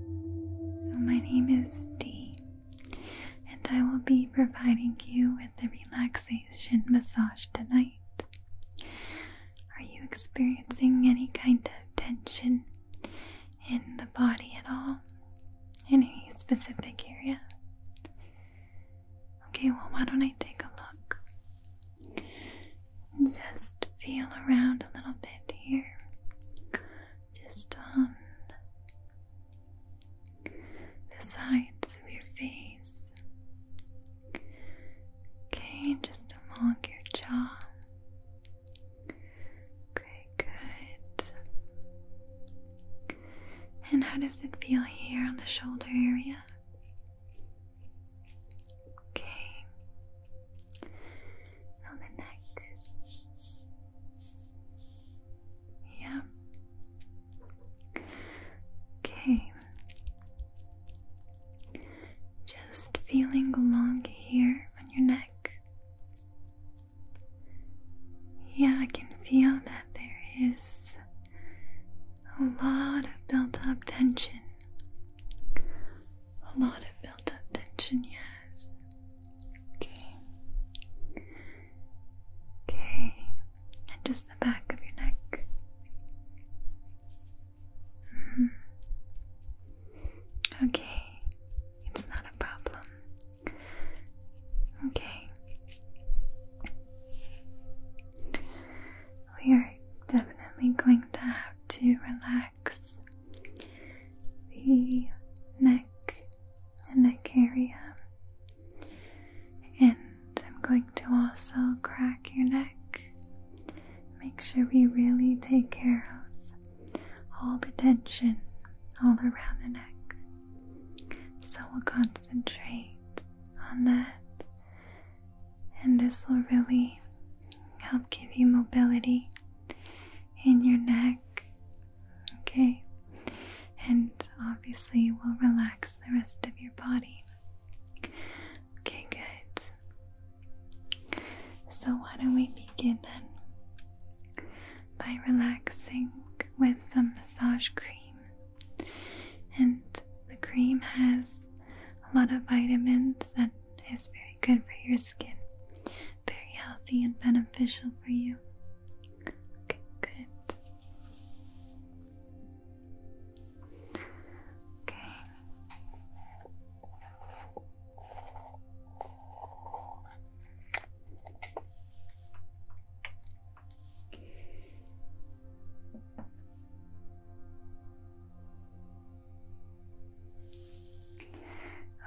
So, my name is Dee, and I will be providing you with a relaxation massage tonight. Are you experiencing any kind of tension in the body at all? In any specific area? Okay, well, why don't I take a look? Just feel around a little bit here. Just on the sides of your face. Okay, just along your jaw. Okay, good. And how does it feel here on the shoulder area? Okay. On the neck. Yeah. Okay. Just feeling along here on your neck. Yeah, I can feel that there is a lot of built up tension. A lot of built up tension, yes. Okay. Okay. And just the back of your neck. Mm-hmm. Okay. It's not a problem. Okay. We are definitely going to have to relax the neck and neck area. And I'm going to also crack your neck. Make sure we really take care of all the tension all around the neck. So we'll concentrate concentrate on that, and this will really help give you mobility in your neck. Okay, and obviously, will relax the rest of your body. Okay, good. So, why don't we begin then by relaxing with some massage cream? And the cream has a lot of vitamins that is very good for your skin. Very healthy and beneficial for you. Okay, good. Okay.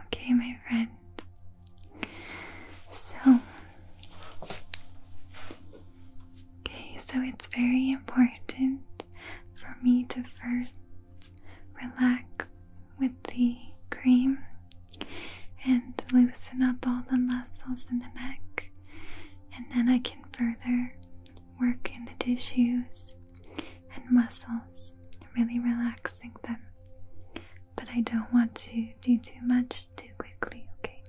Okay, my friend. So, okay, so it's very important for me to first relax with the cream and loosen up all the muscles in the neck. And then I can further work in the tissues and muscles, really relaxing them. But I don't want to do too much too quickly, okay?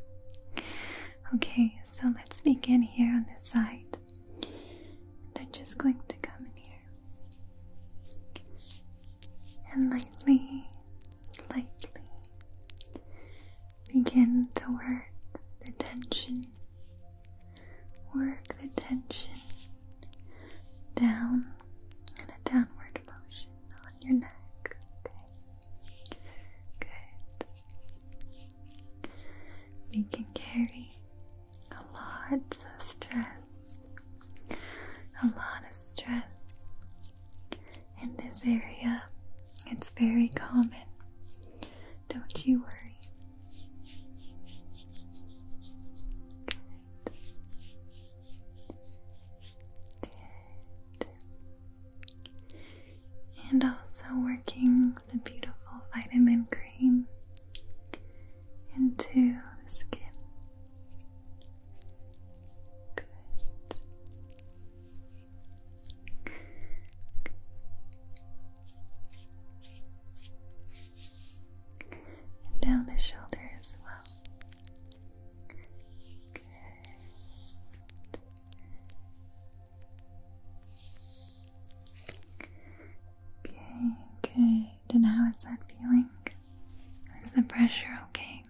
Okay, so let's begin here on this side. And I'm just going to come in here and lightly lightly begin to work the tension. Work the tension down in a downward motion on your neck. Okay. Good. We can carry a lot of stress, a lot of stress in this area. It's very common. Don't you worry. Good. Good. And also working the beautiful vitamin cream into the skin. Good. And down the shoulder as well. Good. Okay, good. And how is that feeling? Is the pressure okay?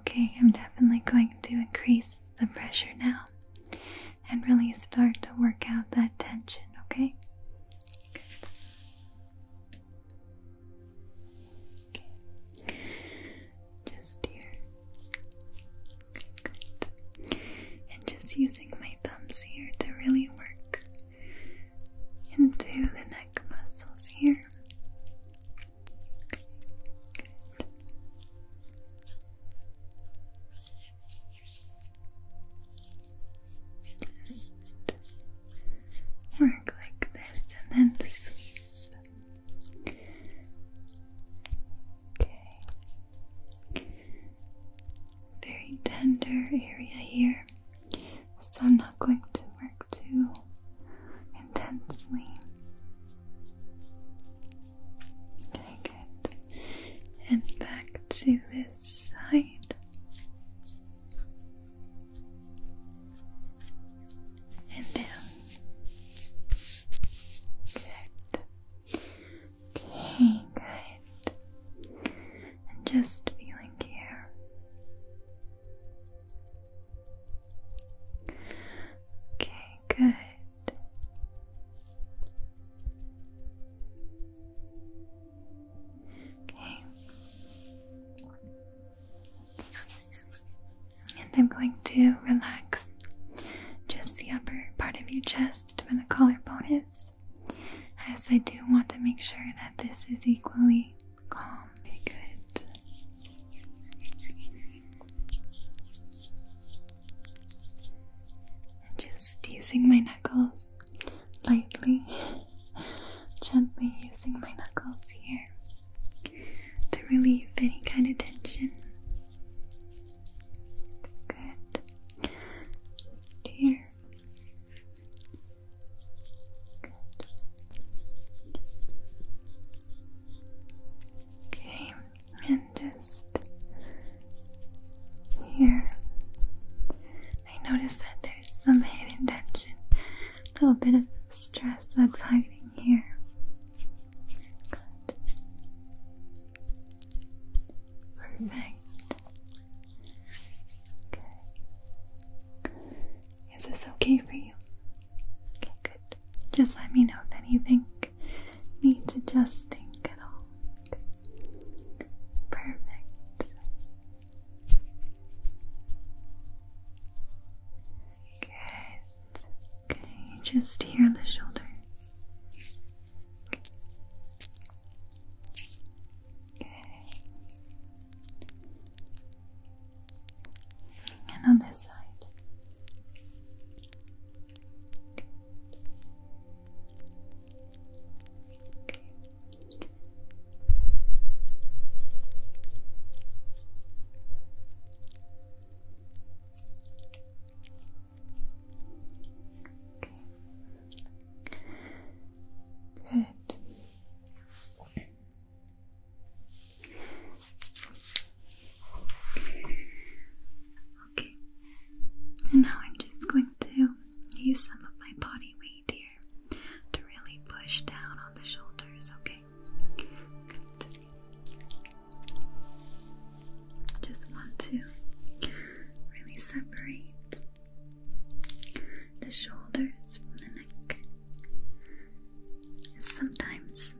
Okay, I'm definitely going to increase the pressure now and really start to work out that tension, okay? Just here. And just using my thumbs here to really work into the neck muscles here. Just work like this and then sweep. Okay. Very tender area here. So I'm not going to work too intensely. Okay, good. And back to this side. And down. Good. Okay, good. And just feeling here. Okay, good. Okay. And I'm going to relax just the upper part of your chest where the collarbone is, as I do want to make sure that this is equally calm. Very good. And just using my knuckles lightly, gently using my knuckles here to relieve any kind of tension. Good. Just here. Okay, and just here. I noticed that there's some hidden tension, a little bit of stress that's hiding here. Perfect. Okay. Is this okay for you? Okay, good. Just let me know if anything needs adjusting at all. Perfect. Good. Okay, just here on the shoulder. Okay and on this side. Okay. Good. Okay, and now I'm just going to use some of my body weight here to really push down on the shoulders, okay? Just want to really separate the shoulders from the neck. Sometimes,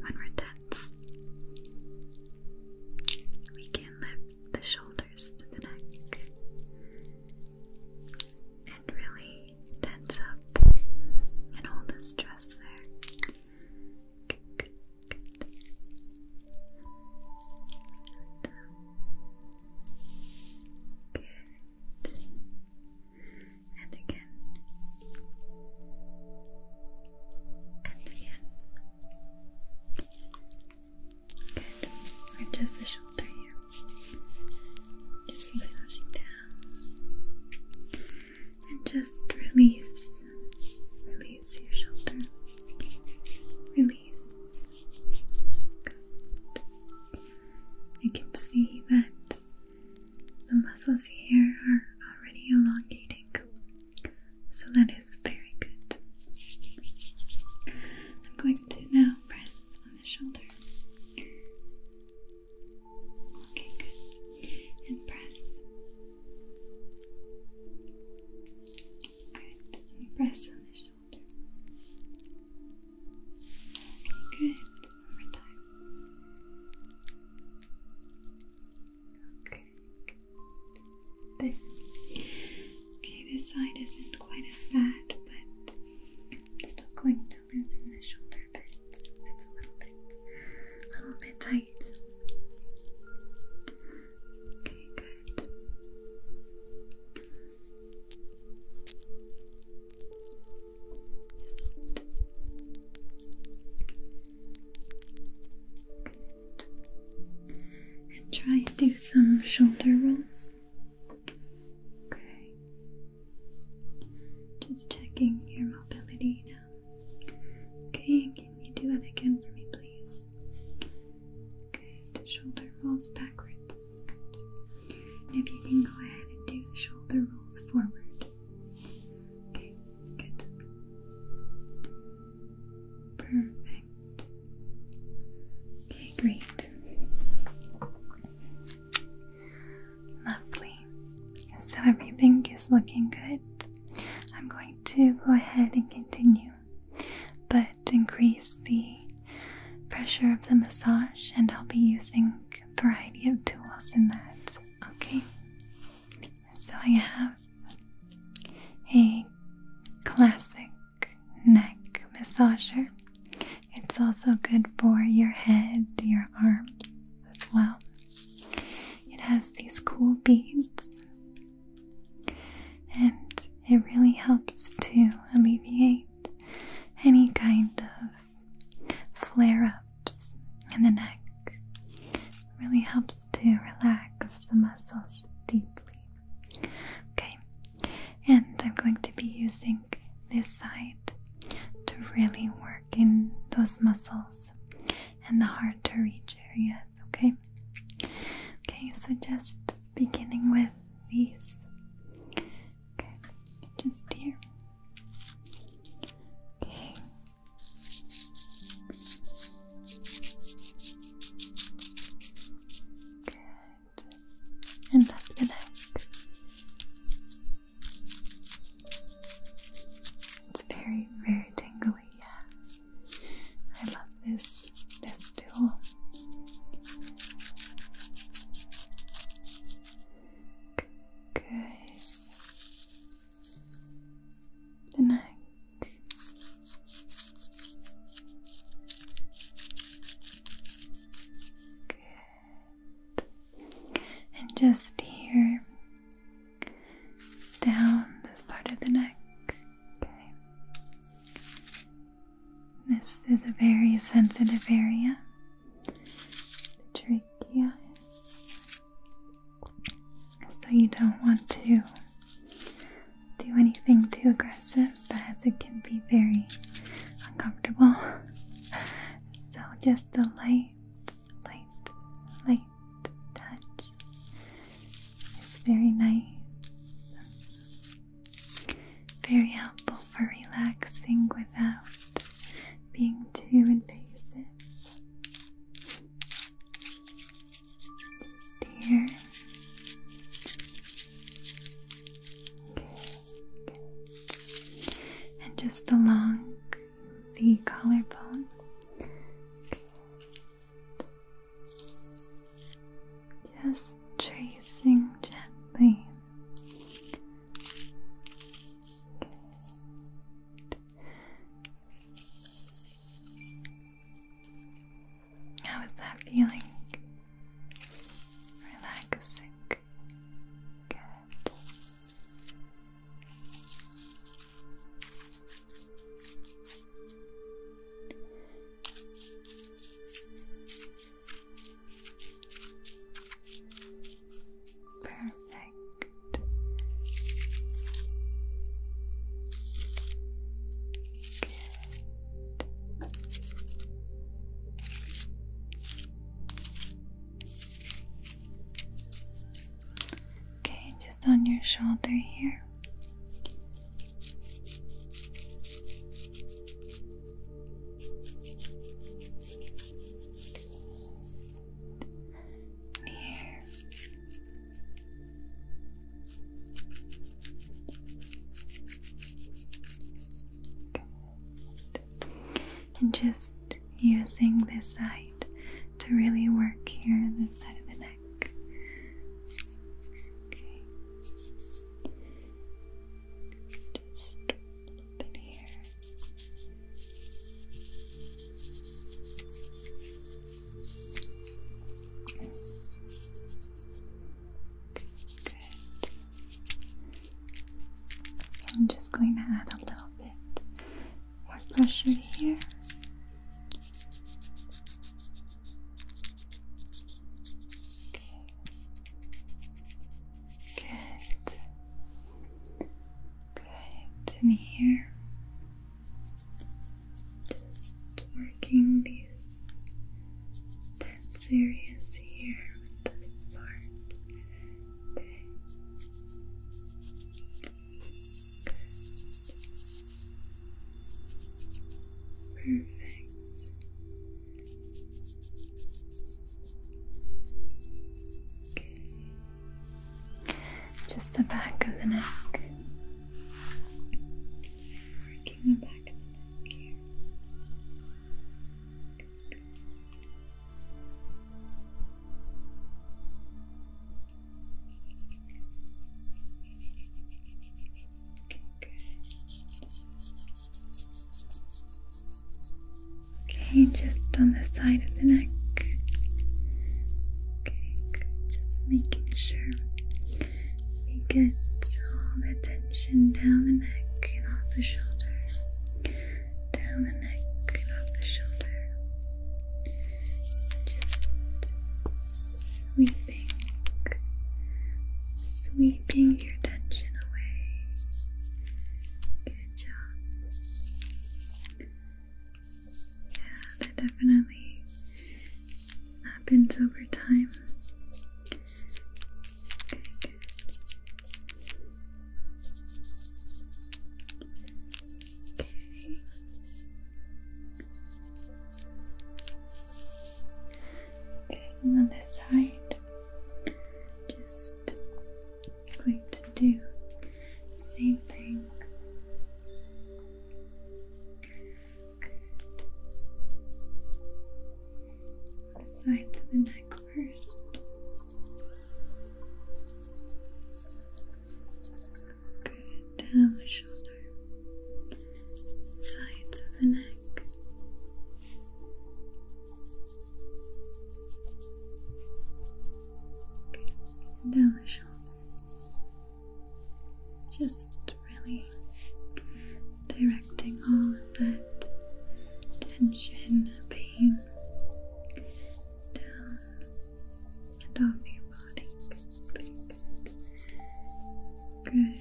when we're tense, we can lift the shoulders to the neck and really tense up and all the stress there and again and again. Good. Or just the shoulder here. Just massaging down. And just release. Release your shoulder. Release. I can see that the muscles here are already elongating, so that is very good. I'm going to now press on the shoulder. Okay, good. And press. Good. press on the shoulder. Good. One more time. Okay. Okay, this side isn't quite as bad, but i still going to loosen the shoulder bit. It's a little bit, a little bit tight. Okay, good. And try and do some shoulder rolls. Okay. Just checking your mobility now. Okay, can you do that again for me, please? Okay, shoulder rolls backwards. And if you can go ahead and do the shoulder rolls forward. Okay, good. Perfect. Okay, great. Lovely. So everything is looking good. I'm going to go ahead and continue, but increase the pressure of the massage, and I'll be using variety of tools in that. Okay, so I have a classic neck massager. It's also good for your head, your arms as well. It has these cool beads and it really helps to alleviate any kind of flare ups in the neck. Really helps to relax the muscles deeply. Okay, and I'm going to be using this side to really work in those muscles and the hard to reach areas. Okay, okay, so just beginning with these. Okay, just here. Okay. Good. And that's the neck. It's very, very tingly, yeah. I love this this tool. Good. The neck. Good. And just here, down this part of the neck. Okay. This is a very sensitive area. The trachea So you don't want to do anything too aggressive because it can be very uncomfortable. so just a light, light, light touch is very nice. Very helpful for relaxing without being too invasive. Just here. Okay, And just along the collarbone. Just tracing gently how is that feeling? Relaxing. Good. Perfect. Okay, just on your shoulder here and just using this side to really work here this side of the neck okay I'm just going to add a little bit more pressure here. Good. Good, and here, just working these tense areas here with this part. Perfect. Just the back of the neck. Working the back of the neck here. Okay, just on the side of the neck. Okay, just making sure we get all the tension down the neck and off the shoulder. Down the neck and off the shoulder. Just sweeping, sweeping your tension away. Yeah, that definitely happens over time. Okay, Okay. on this side, just going to do the same thing. sides of the neck first. Good. Down the shoulder. Sides of the neck and down the shoulder, Just really directing all of that tension, pain down and off your body. Good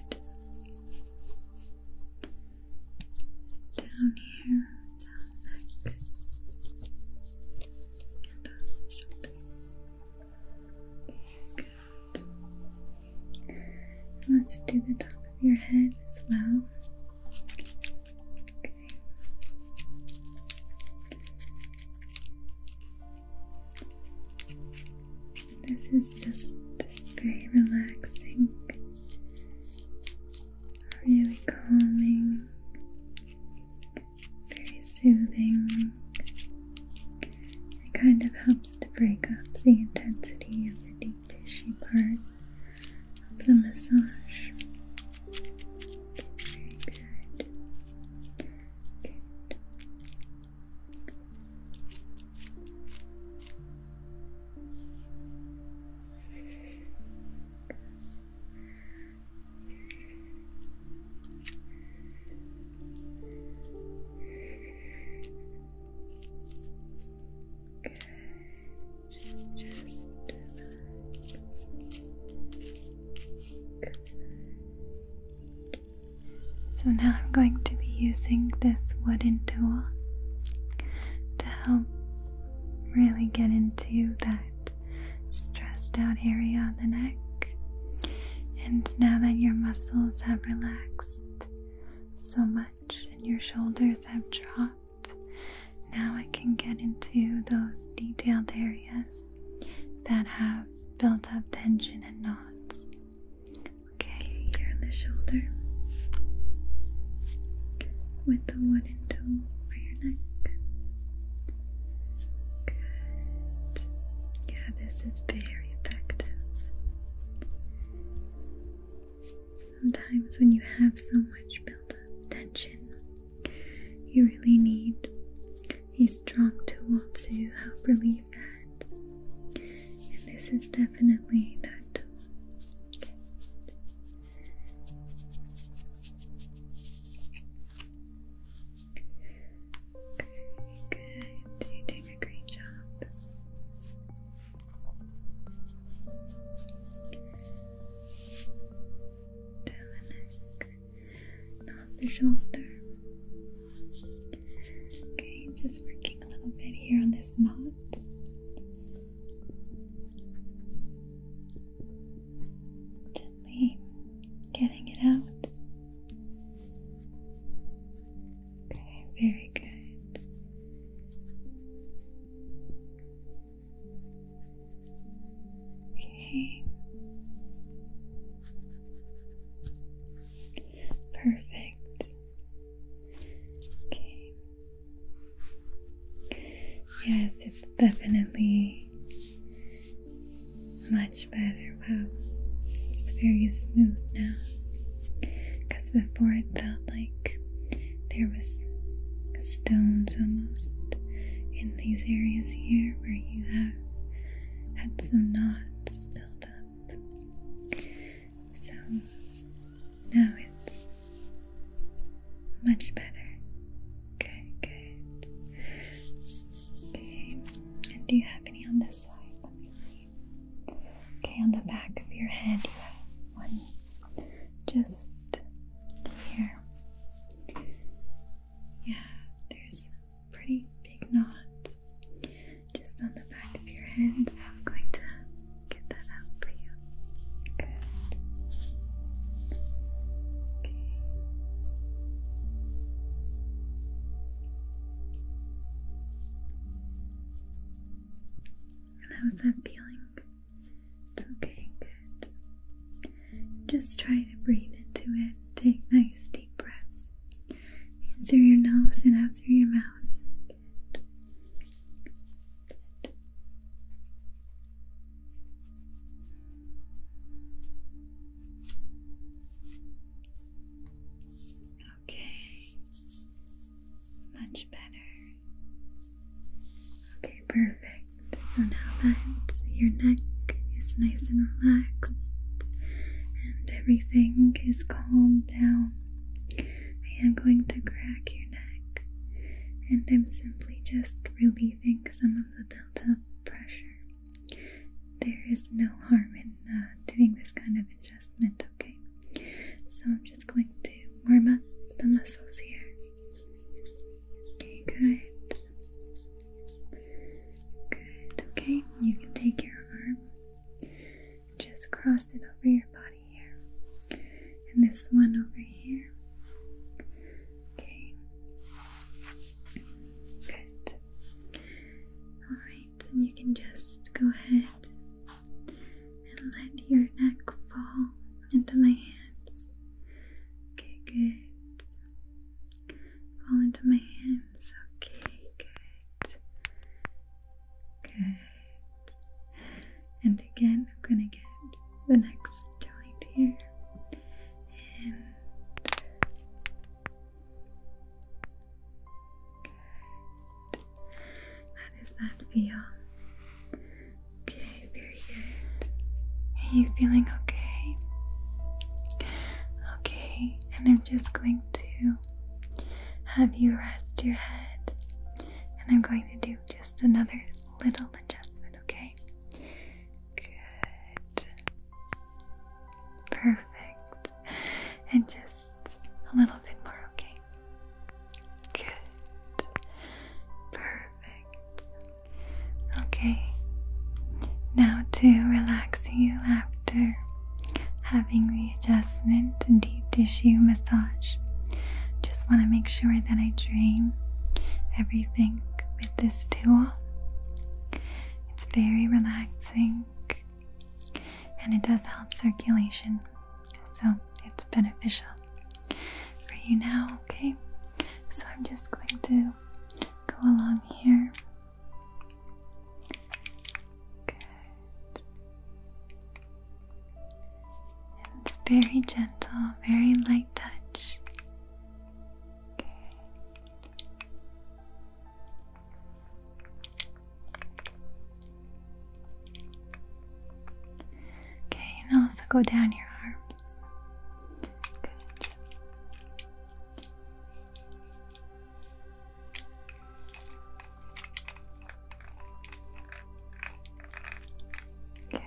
down here, and on the Let's do the top of your head as well. This is just very relaxing really calming, very soothing. It kind of helps to break up the intensity of the deep tissue part of the massage. Very good. Good. Just relax. So now I'm going to be using this wooden tool to help really get into that stressed out area on the neck. And now that your muscles have relaxed so much and your shoulders have dropped, now I can get into those detailed areas that have built up tension and knots. Okay, here on the shoulder with the wood for your neck. Good. Yeah, this is very effective. Sometimes when you have so much built up tension, you really need a strong tool to help relieve that. And this is definitely that tool. Very good. You're doing a great job. not the shoulder. Okay, just working a little bit here on this knot. Gently getting it out. Okay, very good. Okay. Perfect. Okay. Yes, it's definitely much better. Wow, it's very smooth now. Because before it felt like there was stones almost in these areas here where you have had some knots built up. So now it's much better. Okay, good. Okay, do you have any on this side? Let me see. Okay, on the back of your head, you have one just here. Yeah, there's a pretty big knot just on the back of your head, so I'm going to get that out for you. Good. Okay. And how's that feeling? It's okay, good. Just try to breathe into it. Take nice deep breaths in through your nose and out through your mouth. Okay, much better. Okay, perfect. So now that your neck is nice and relaxed and everything is calmed down, I am going to crack your neck and I'm simply just relieving some of the built up pressure. There is no harm in uh, doing this kind of adjustment, okay? So I'm just going to warm up the muscles here. Okay, good. Good, okay. You can take your arm, just cross it over your body and this one over here. Okay. Good. Alright, and you can just go ahead and let your neck fall into my hands. Okay, good. Fall into my hands. Okay, good. Good. And again, I'm gonna get the next joint here. And good. How does that feel? Okay, very good. Are you feeling okay? Okay, and I'm just going to have you rest your head, and I'm going to do just another little adjustment, okay? Good. Perfect. And just a little bit more, okay? Good. Perfect. Okay. Now to relax you after having the adjustment and body tissue massage. Just want to make sure that I drain everything with this tool. It's very relaxing and it does help circulation, so it's beneficial for you now, okay? So I'm just going to go along here. Good it's very gentle, very light touch. Okay. Okay, and also go down your arms. Good.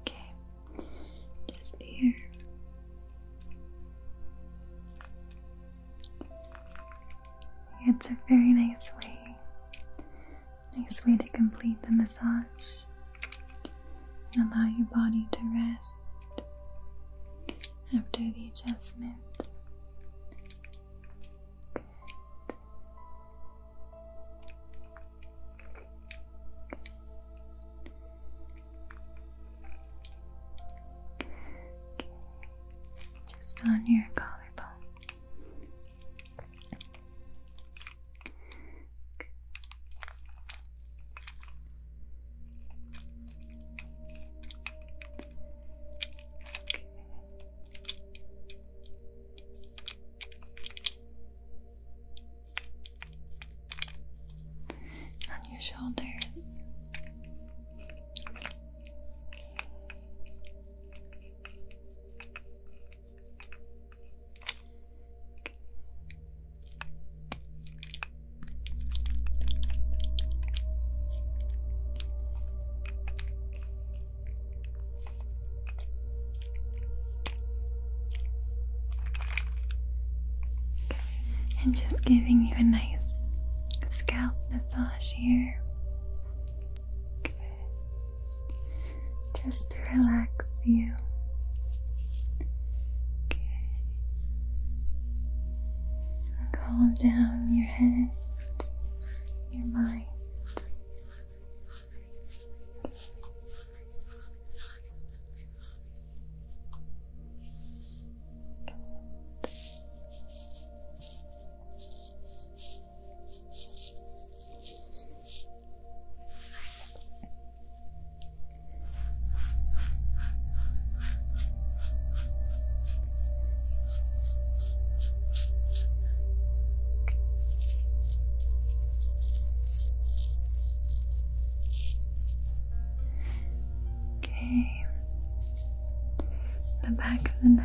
Okay, just here. It's a very nice way Nice way to complete the massage and allow your body to rest after the adjustment. Just on your collarbone. On your shoulders. And just giving you a nice scalp massage here just to relax you. Calm down your head, your mind. Okay, the back of the neck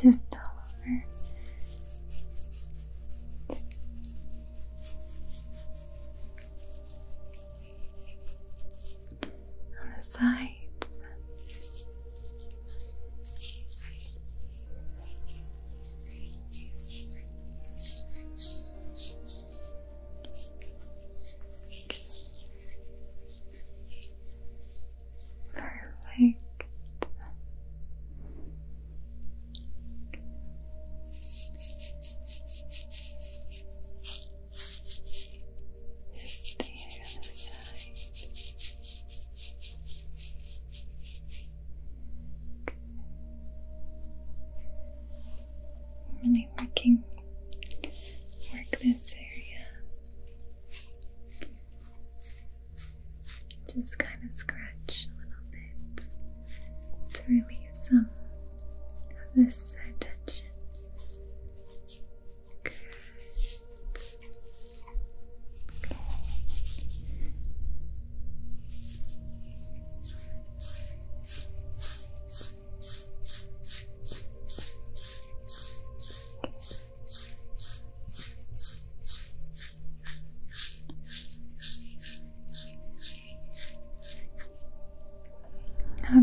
just all over. On the sides. Perfect. Just the other side. Really working, work this area. Just kind of scratch a little bit to relieve some of this tension. Good. Good.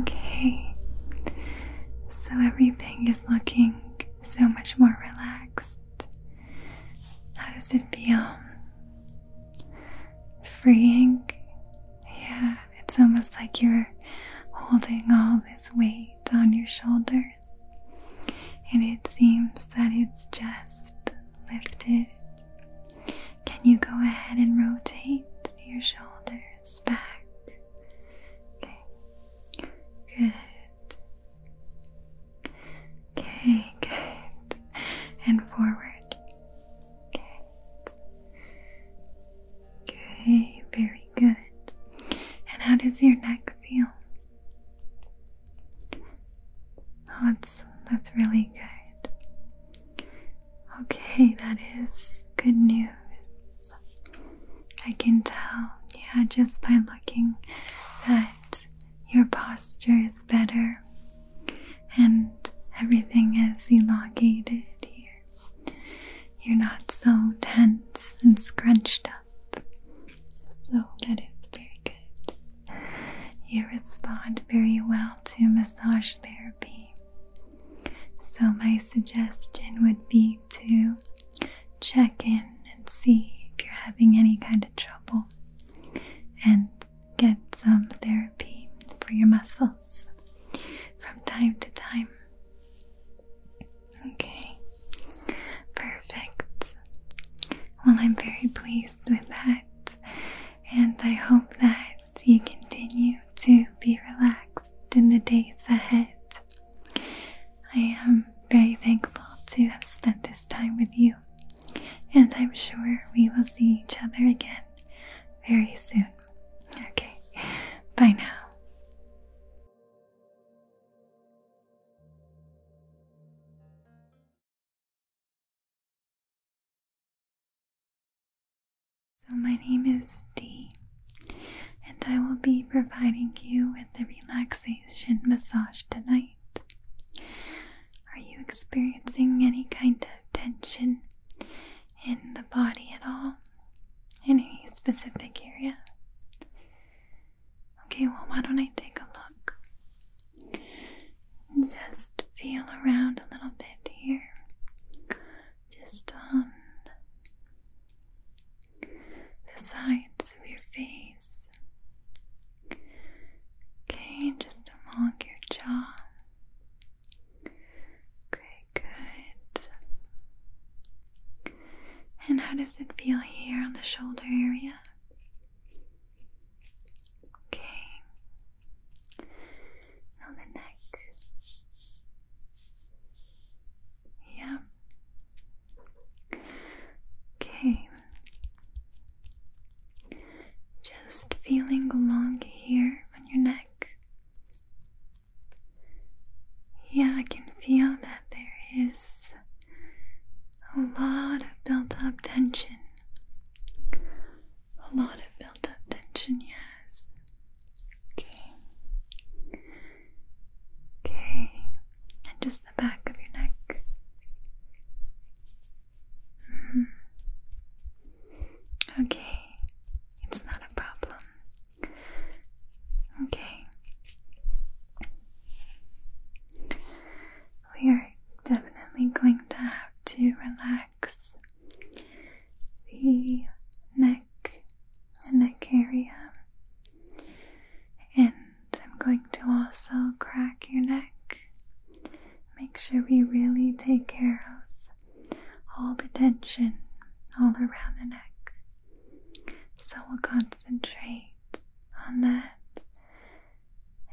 Okay, so everything is looking so much more relaxed. How does it feel? Freeing? Yeah, it's almost like you're holding all this weight on your shoulders shoulders, and it seems that it's just lifted. Can you go ahead and rotate your shoulders back? Okay, good. Okay, good. And forward. Good. Okay, very good. And how does your neck feel? Oh, that's that's really good. Okay, that is good news. I can tell, yeah, just by looking that your posture is better and everything is elongated here. You're not so tense and scrunched up. So that is very good. You respond very well to massage therapy. So, my suggestion would be to check in and see if you're having any kind of trouble and get some therapy for your muscles from time to time. Okay, perfect. Well, I'm very pleased with that, and I hope that you continue to be relaxed in the days ahead. I am very thankful to have spent this time with you, and I'm sure we will see each other again very soon. Okay, bye now. So, my name is Dee, and I will be providing you with a relaxation massage tonight. Are you experiencing any kind of tension in the body at all? In any specific area? Okay, well, why don't I take a look? Just feel around a little bit here. Just on the sides of your face. Okay, just along your jaw. Okay, good. And how does it feel here on the shoulder area? Okay. On the neck. Yeah. Okay. Just feeling along here on your neck. Yeah, I can feel that there is a lot of built up tension. A lot of built up tension, yes. Okay. Okay. And just the back of your neck. Mm-hmm. Okay. It's not a problem. Okay. We are definitely going to have to relax the neck and neck area. And I'm going to also crack your neck. Make sure we really take care of all the tension all around the neck. So we'll concentrate on that,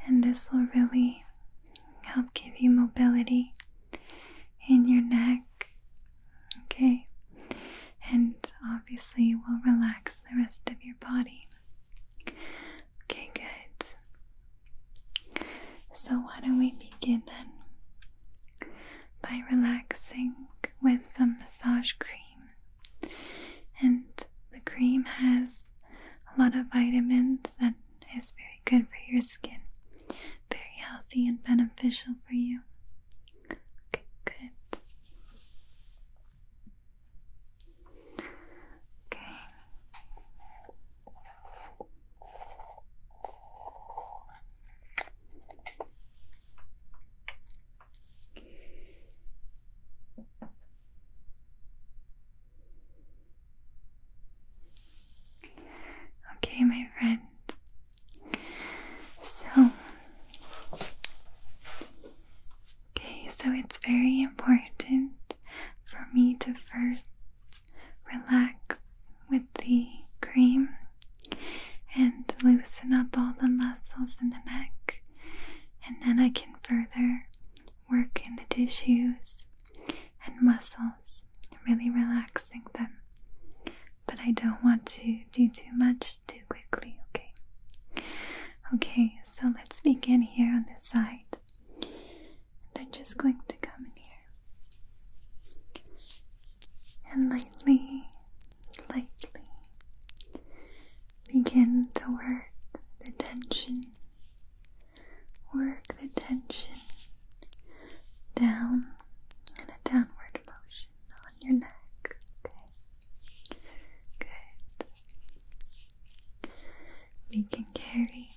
and this will really help give you mobility in your neck. Okay, and obviously, we'll relax the rest of your body. Okay, good. So, why don't we begin then by relaxing with some massage cream? And the cream has a lot of vitamins that is very good for your skin. Very healthy and beneficial for you. good. Okay. Okay, my friend. So, okay, so it's very important for me to first relax with the cream and loosen up all the muscles in the neck, and then I can further work in the tissues and muscles, really relaxing them. But I don't want to do too much too quickly, okay? Okay, so let's begin here on this side. And I'm just going to come in here and lightly lightly begin to work the tension. Work the tension down in a downward motion on your neck. Okay. Good. We can carry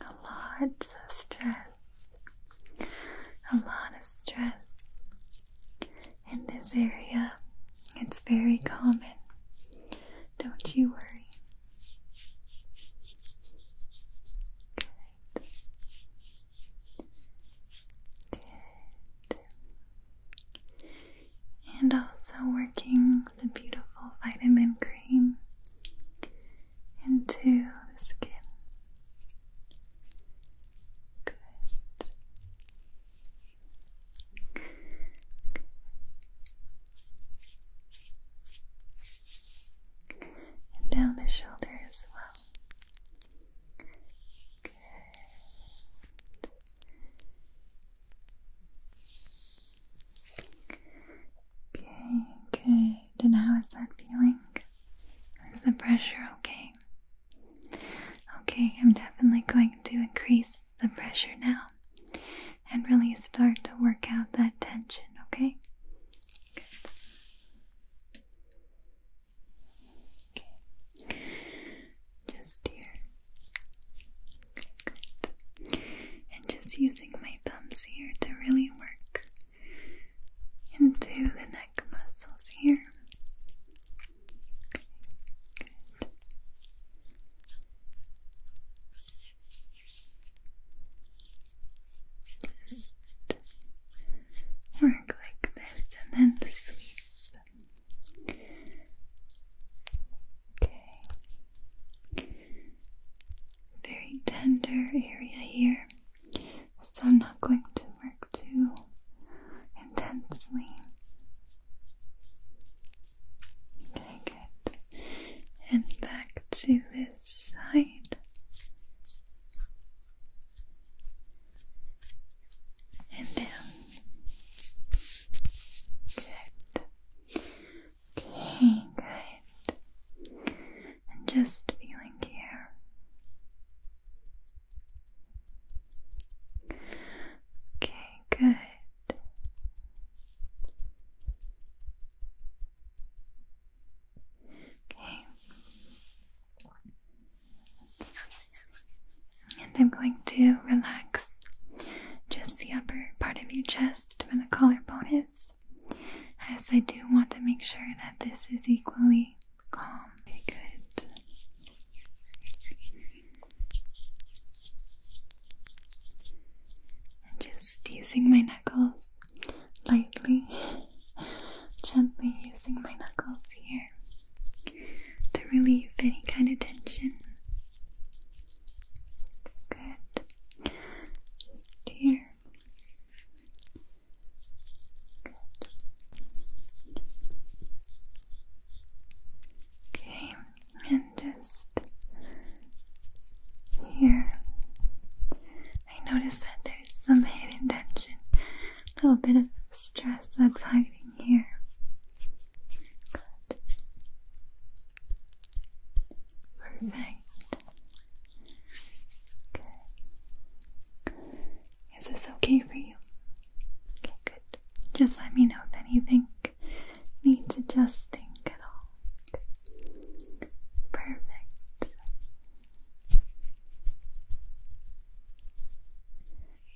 a lot of stress, a lot of stress in this area. It's very common. Don't you worry. Good. Good. And also working the beautiful vitamin cream into the skin. And down the shoulder as well. Okay. Okay, good. And how is that feeling? Is the pressure okay? Okay, I'm definitely going to increase the pressure now and really start to work out that tension, okay? Just here. And just using my thumbs here to really work into the neck muscles here. work like this and then the sweep. Okay. Very tender area here so I'm not going to work too intensely. Okay, good. And back to this side. And down. Good. Okay, good. And just feeling here. Okay, good. Okay. And I'm going to relax just the upper part of your chest where the collarbone is, as I do want to make sure that this is equally calm. Very good. And just using my knuckles lightly, gently using my knuckles here to relieve any kind of tension. Good. Just here. Okay, and just here, I notice that there's some hidden tension, a little bit of stress that's hiding here. Good. Perfect. Okay. Is this okay for you? Okay, good. Just let me know if anything needs adjusting at all. Okay. Perfect.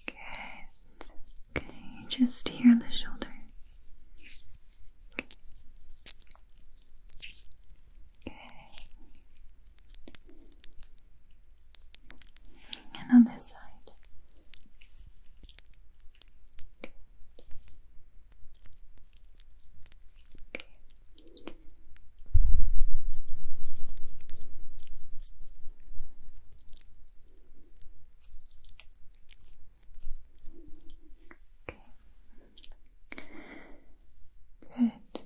Good. Okay, just here on the shoulder. Okay. And on this side. Okay. Good.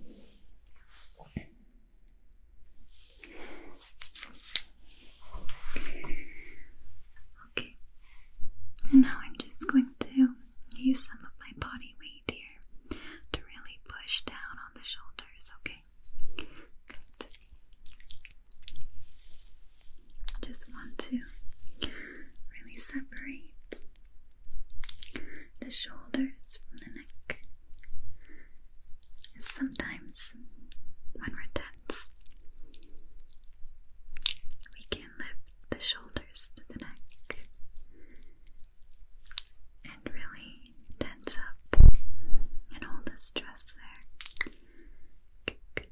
Okay, and now I'm just going to use some of my body weight here to really push down on the shoulders, okay? Just want to really separate the shoulders, from the neck. Sometimes, when we're tense, we can lift the shoulders to the neck and really tense up and all the stress there. Good, good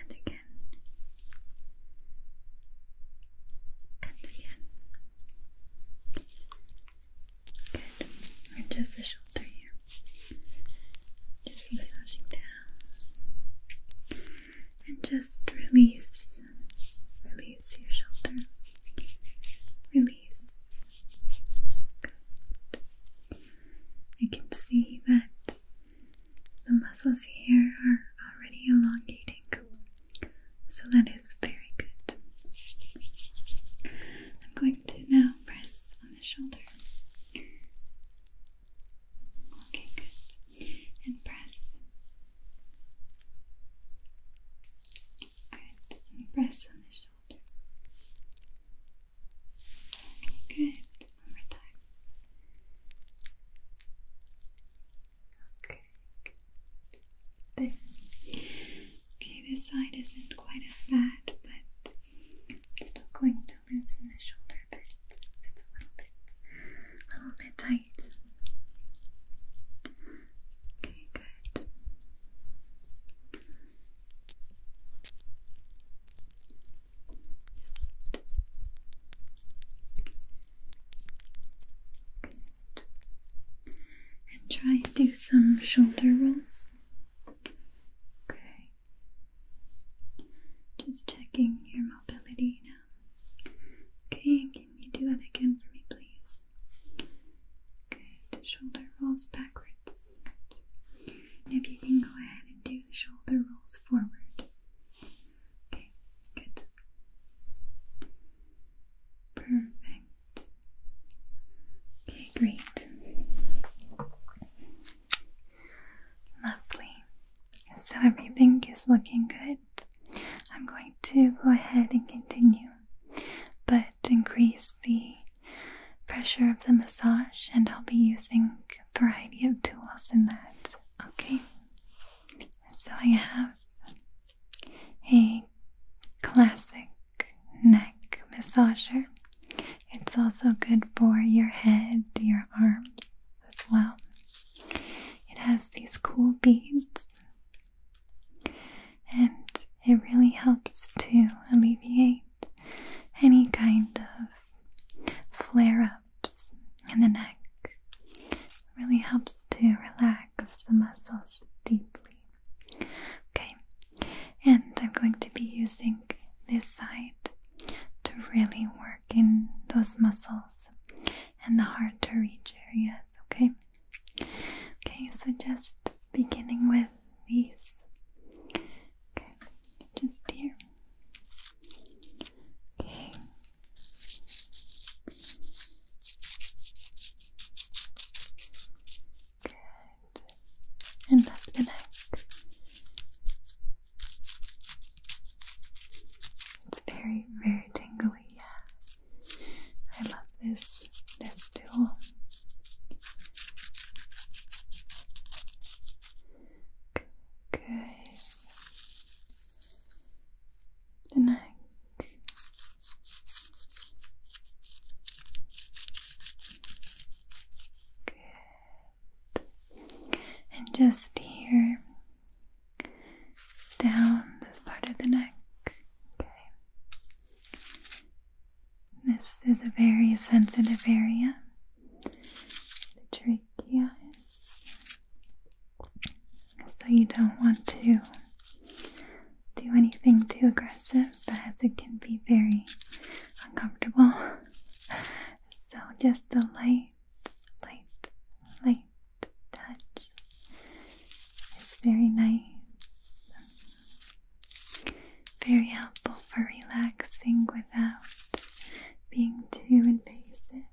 and again and again. Good. Or just the shoulder here. Just massaging down. And just release. Release your shoulder. Release. Good. I can see that the muscles here are already elongating, so that is very good. I'm going to now press on the shoulder. Okay, good. And press. Good. And press on the shoulder. Good. One more time. Okay. Good. Okay, this side isn't quite as bad, but i still going to loosen the shoulder a It's a little bit, a little bit tight. Okay, good. And try and do some shoulder rolls. Okay. Just checking your mobility now. Okay, can you do that again for me, please? Okay, Shoulder rolls backwards if you can go ahead and do the shoulder rolls forward. Okay, good. Perfect. Okay, great. Lovely. So everything is looking good. I'm going to go ahead and continue, but increase the pressure of the massage, and I'll be using variety of tools in that. Okay, so I have a classic neck massager. It's also good for your head, your arms as well. It has these cool beads and it really helps to alleviate any kind of flare ups in the neck. Really helps to relax the muscles deeply. Okay, and I'm going to be using this side to really work in those muscles and the hard to reach areas. Okay, okay, so just beginning with these Okay, just here. Okay. Good. And up the neck. It's very, very tingly, yeah. I love this this tool. Good. The neck. Good. And just here, down this part of the neck. Okay. This is a very sensitive area the trachea is. So you don't want to do anything too aggressive as it can be very uncomfortable. so just a light, light, light touch is very nice very helpful for relaxing without being too invasive.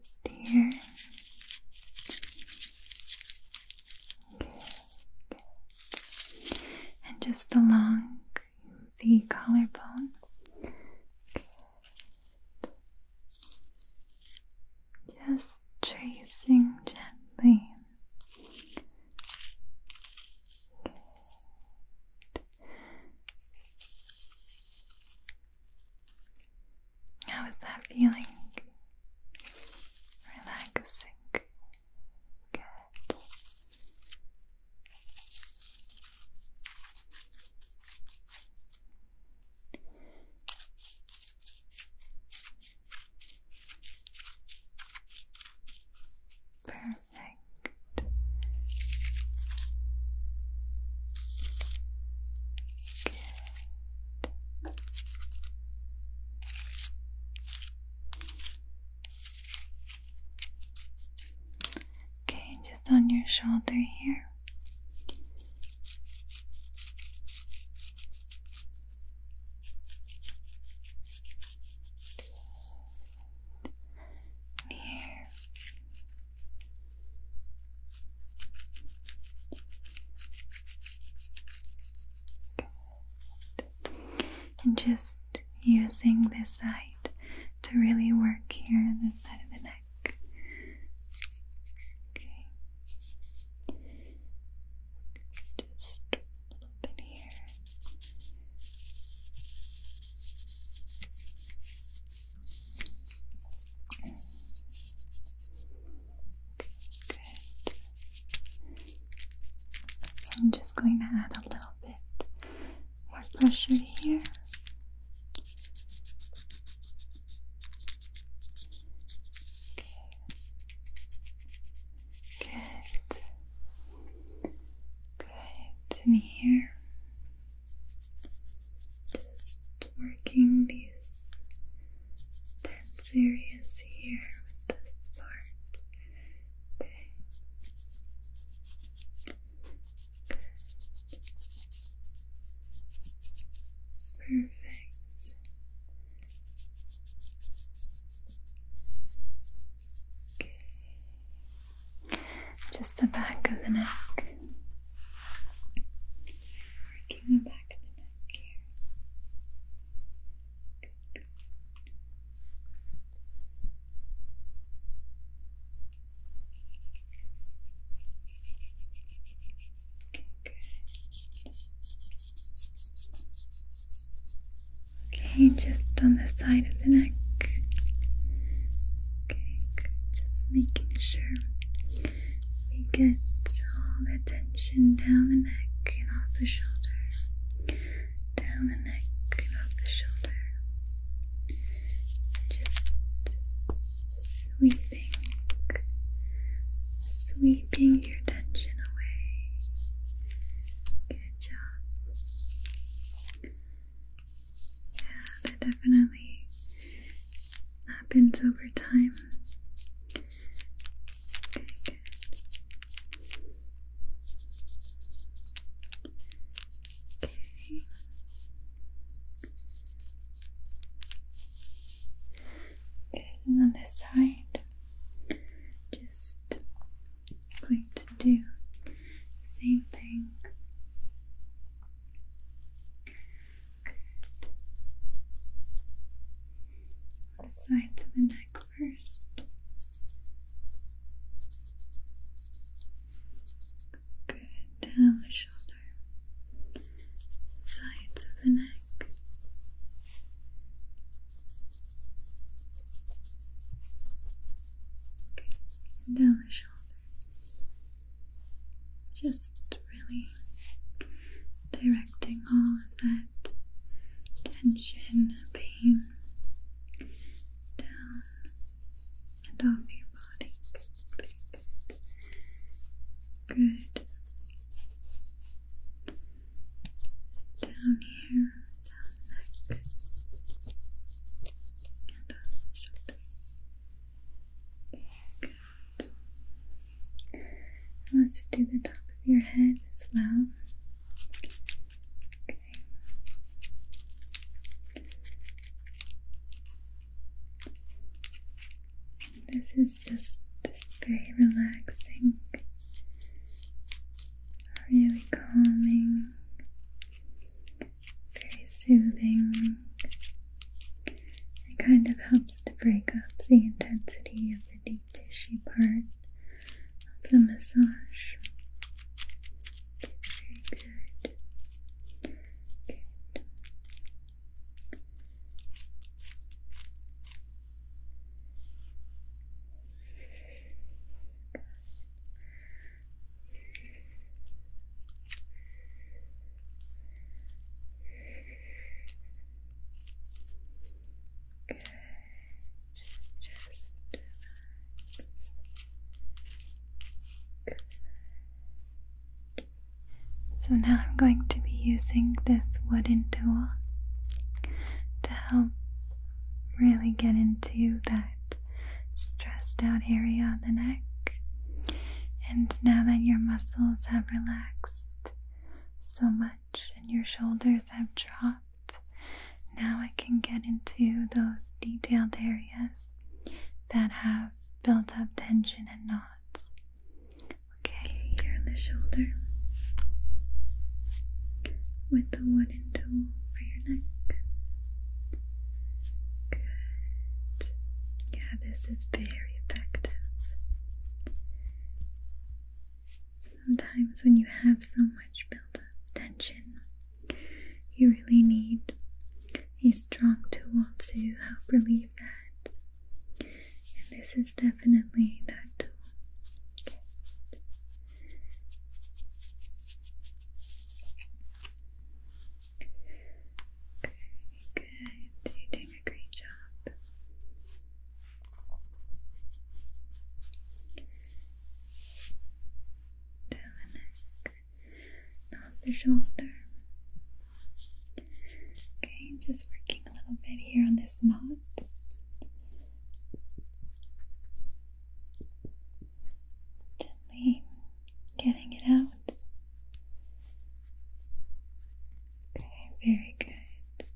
Just here. Okay, good. And just along the collarbone. Just tracing gently Good. How is that feeling? Relaxing. Good. Perfect. Okay, just on your shoulder here and just using this side to really work here, this side of the neck. Okay here. Good. I'm just going to add a little bit more pressure here. Okay, Good. Good. And here, just working these tense areas here with this part. Okay. Perfect. Just the back of the neck. Working the back of the neck here. Okay, good. Okay, just on the side of the neck. Okay, just making sure we get all the tension down the neck and off the shoulder. Down the neck and off the shoulder. Just sweeping, sweeping your tension away. Good job. Yeah, that definitely happens over time. Okay, good. Okay. and on this side, just going to do the same thing. The sides of the neck first. Good. Down the shoulder. Sides of the neck and down the shoulders. Just really directing all of that tension, pain down and off your body. Good down here, down the and off the Good. Let's do the top of your head as well. Okay. This is just very relaxing really calming, very soothing. It kind of helps to break up the intensity of the deep tissue part of the massage. Very good. Good. So now I'm going to be using this wooden tool to help really get into that stressed out area of the neck. And now that your muscles have relaxed so much and your shoulders have dropped, now I can get into those detailed areas that have built up tension and knots. Okay, here on the shoulder with the wooden tool for your neck. Good. Yeah, this is very effective. Sometimes when you have so much built-up tension, you really need a strong tool to help relieve that. And this is definitely definitely that too. Okay. Okay, good. You're doing a great job. Down the neck, not the shoulder. Okay, just working a little bit here on this knot. Gently getting it out. Okay, very good.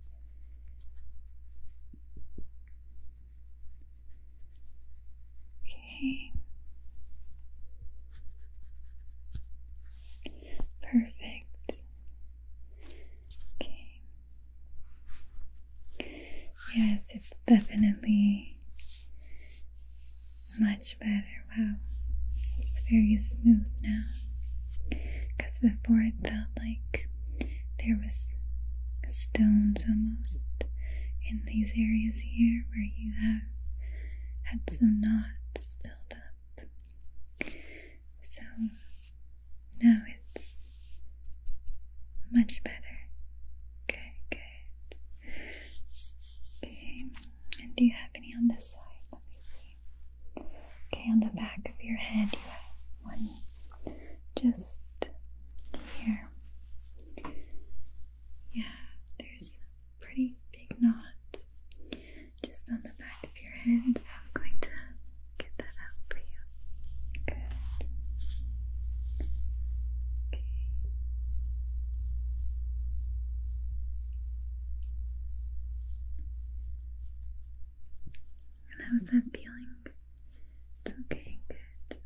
Okay. Perfect. Okay. Yes, it's definitely much better. Wow, it's very smooth now. Because before it felt like there was stones almost in these areas here where you have had some knots built up. So now it's much better. Okay, good. Okay, and do you have any on this side? Let me see. Okay, on the back of your head, you have one just here. Yeah, there's a pretty big knot just on the back your head, so I'm going to get that out for you. Good. Okay. how's that feeling? It's okay, good.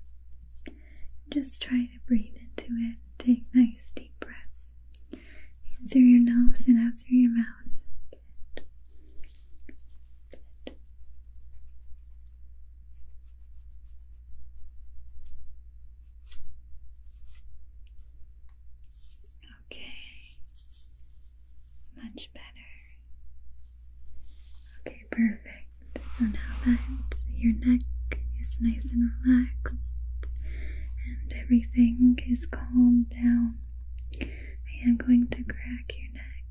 Just try to breathe into it. Take nice deep breaths in through your nose and out through your mouth. Okay, much better. Okay, perfect. So now that your neck is nice and relaxed and everything is calmed down, I am going to crack your neck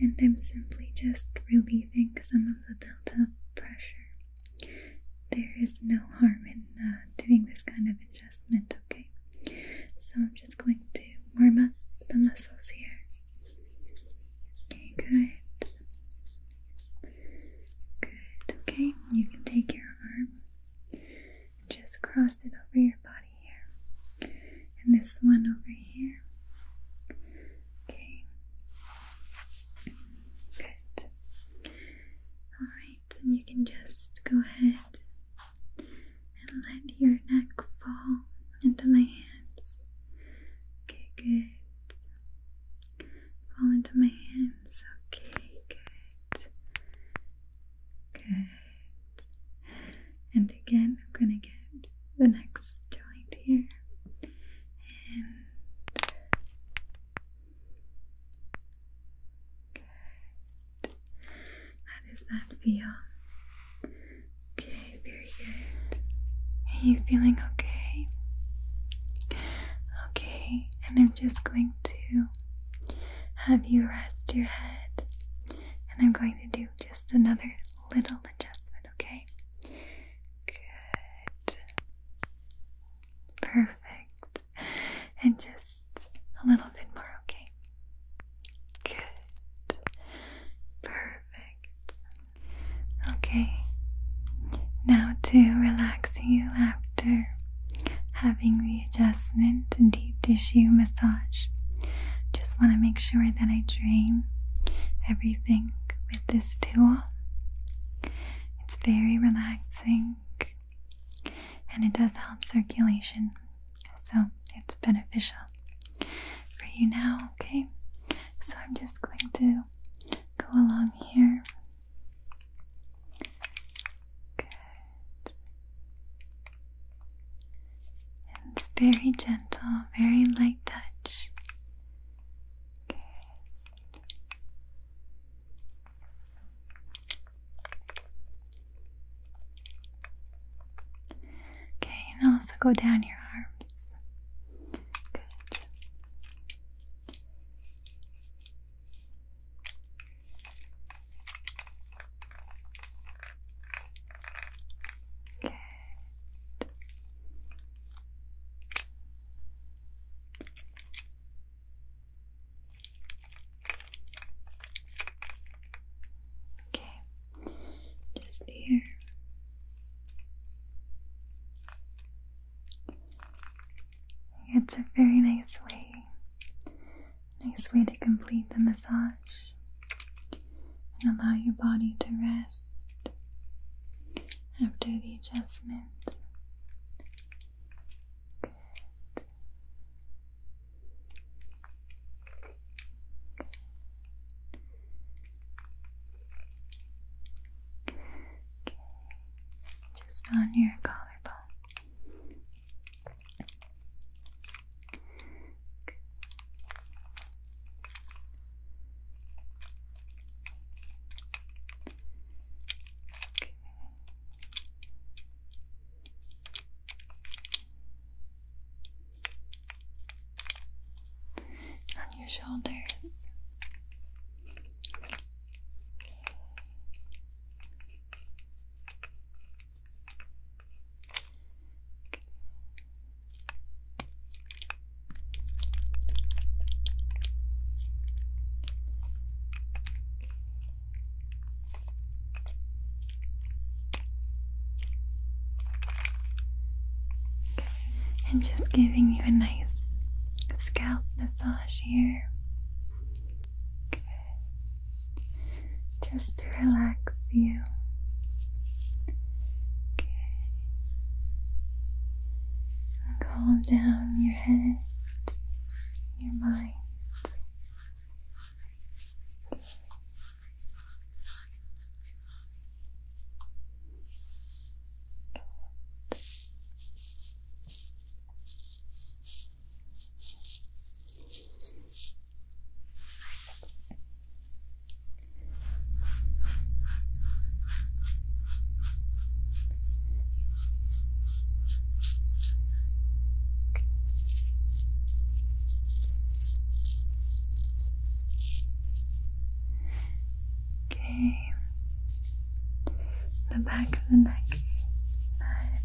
and I'm simply just relieving some of the built up pressure. There is no harm in uh, doing this kind of adjustment, okay? So I'm just going to warm up the muscles here. Okay, good. Good, okay, you can take your arm just cross it over your body here. And this one over here. Okay. Good. Alright, and you can just go ahead and let your neck fall into my hands. Okay, good. Fall into my hands. Okay, good. Good. And again, I'm going to get the next joint here. And good. How does that feel? Okay, very good. Are you feeling okay? Okay, and I'm just going to have you rest your head, and I'm going to do just another little adjustment, okay? Good. Perfect. And just a little bit more, okay? Good. Perfect. Okay. Now to relax you after having the adjustment and deep tissue massage. Just want to make sure that I drain everything with this tool. It's very relaxing and it does help circulation, so it's beneficial for you now, okay? So I'm just going to go along here. Good it's very gentle, very light touch. Okay. Okay, and also go down your arms. Good. Good. Okay, just here. It's a very nice way Nice way to complete the massage and allow your body to rest after the adjustment. Okay. Just on your collarbone. On your shoulders. And just giving you a nice scalp massage here just to relax you. Okay. calm down your head, your mind. Okay. The back of the neck.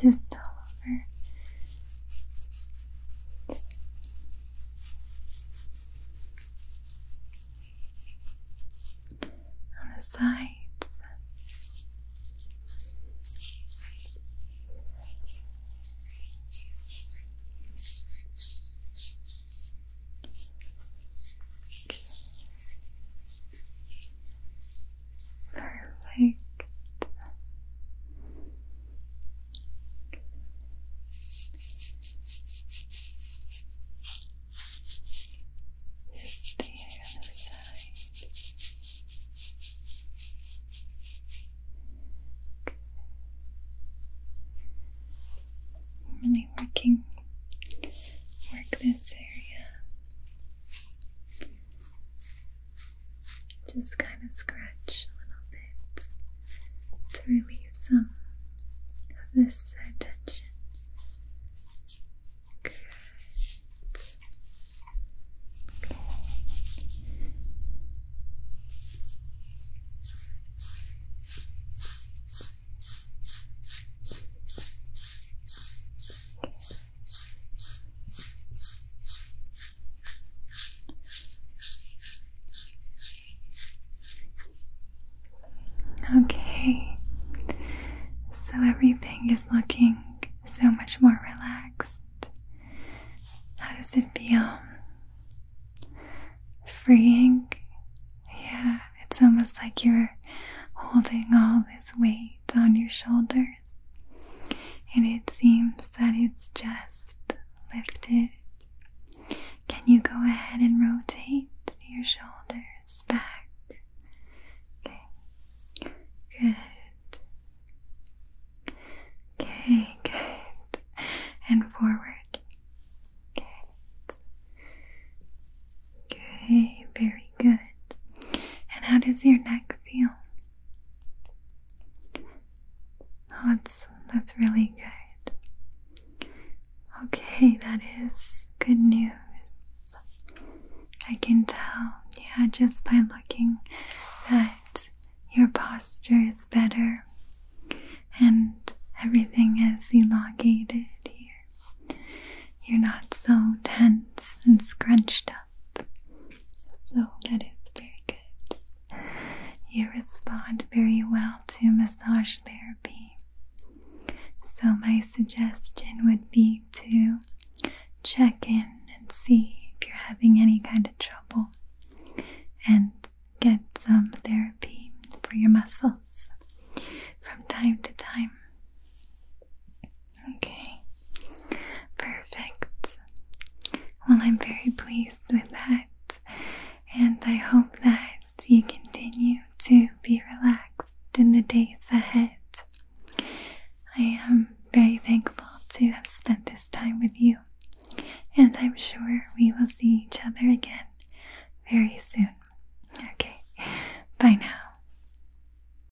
Just all over. On the sides. Perfect. Just the other side. Really working, work this area. Just kind of scratch a little bit to relieve some of this tension. Good. Good. Okay, so everything is looking so much more relaxed. How does it feel? Freeing? Yeah, it's almost like you're holding all this weight weight on your shoulders, and it seems that it's just lifted. Can you go ahead and rotate your shoulders back? Okay, good. Okay, good. And forward. Good. Okay, very good. And how does your neck feel? Oh, that's, that's really good. Okay, that is good news. I can tell, yeah, just by looking that your posture is better and everything is elongated here. You're not so tense and scrunched up. So that is very good. You respond very well to massage therapy. So, my suggestion would be to check in and see if you're having any kind of trouble and get some therapy for your muscles from time to time. Okay, perfect. Well, I'm very pleased with that, and I hope that you continue to be relaxed in the days ahead. I am very thankful to have spent this time with you, and I'm sure we will see each other again very soon. Okay, bye now.